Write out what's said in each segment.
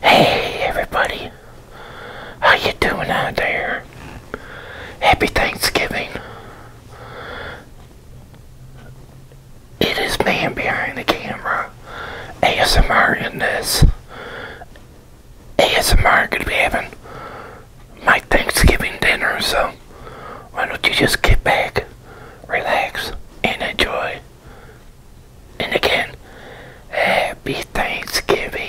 Hey everybody, how you doing out there? Happy Thanksgiving. It is man behind the camera, ASMR in this. ASMR gonna be having my Thanksgiving dinner, so why don't you just get back, relax, and enjoy. And again, happy Thanksgiving.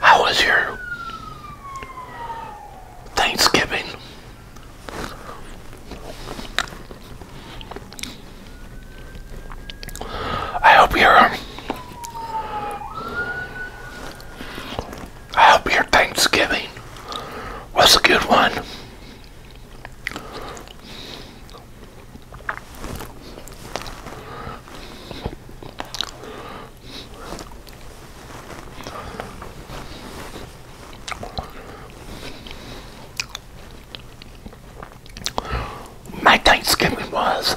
How was your Thanksgiving? I hope your um, I hope your Thanksgiving was a good one. My Thanksgiving was.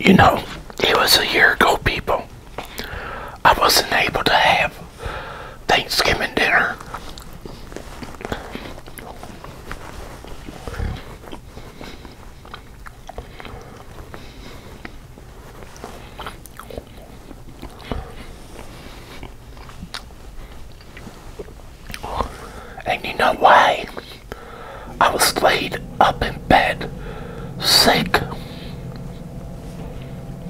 You know, it was a year ago, people. I wasn't able to have Thanksgiving dinner. And you know why? I was laid up in bed, sick.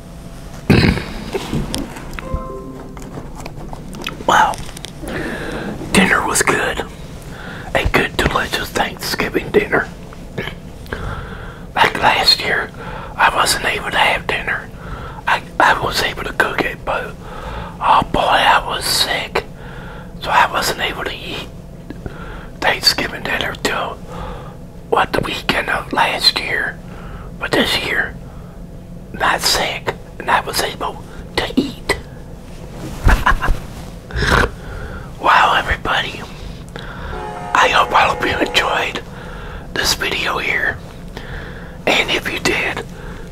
wow. Dinner was good. A good, delicious Thanksgiving dinner. Like last year, I wasn't able to have dinner. I, I was able to cook it, but oh boy, I was sick. So I wasn't able to eat Thanksgiving dinner too what the weekend of last year, but this year, not sick, and I was able to eat. wow, everybody. I hope I hope you enjoyed this video here. And if you did,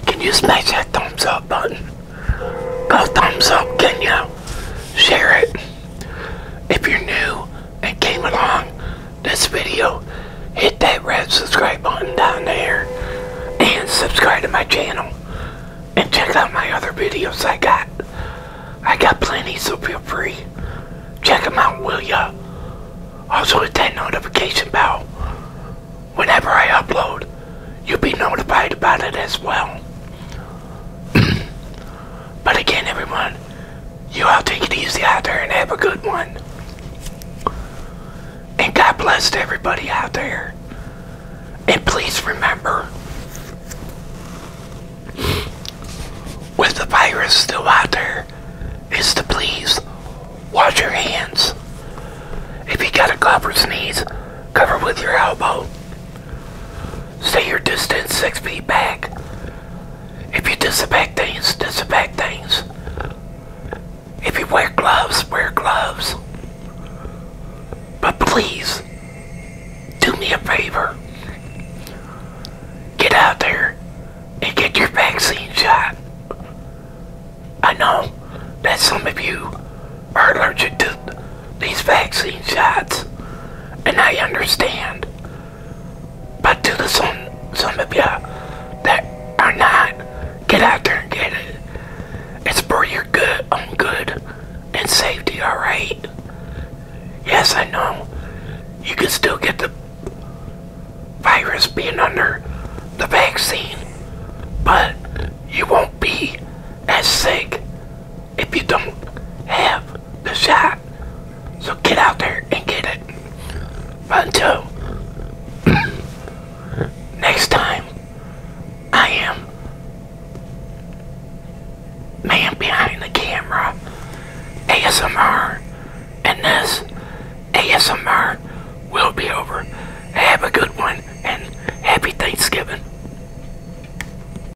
can you smash that thumbs up button? Go thumbs up, can you? Share it. If you're new, and came along this video, hit that red subscribe button down there and subscribe to my channel and check out my other videos I got. I got plenty, so feel free. Check them out, will ya? Also hit that notification bell. Whenever I upload, you'll be notified about it as well. But again, everyone, you all take it easy out there and have a good one. And God bless to everybody out there. And please remember, with the virus still out there, is to please wash your hands. If you got a cough or sneeze, cover with your elbow. Stay your distance six feet back. If you disinfect things, disinfect things. If you wear gloves, wear gloves. But please, do me a favor. Get out there and get your vaccine shot. I know that some of you are allergic to these vaccine shots, and I understand. But to the some some of you that are not, get out there and get it. It's for your good, own good, and safety. All right. Yes, I know. You can still get the virus being under the vaccine, but you won't be as sick if you don't have the shot. So get out there and get it. But until next time, I am man behind the camera, ASMR, and this ASMR will be over. Have a good one and happy Thanksgiving.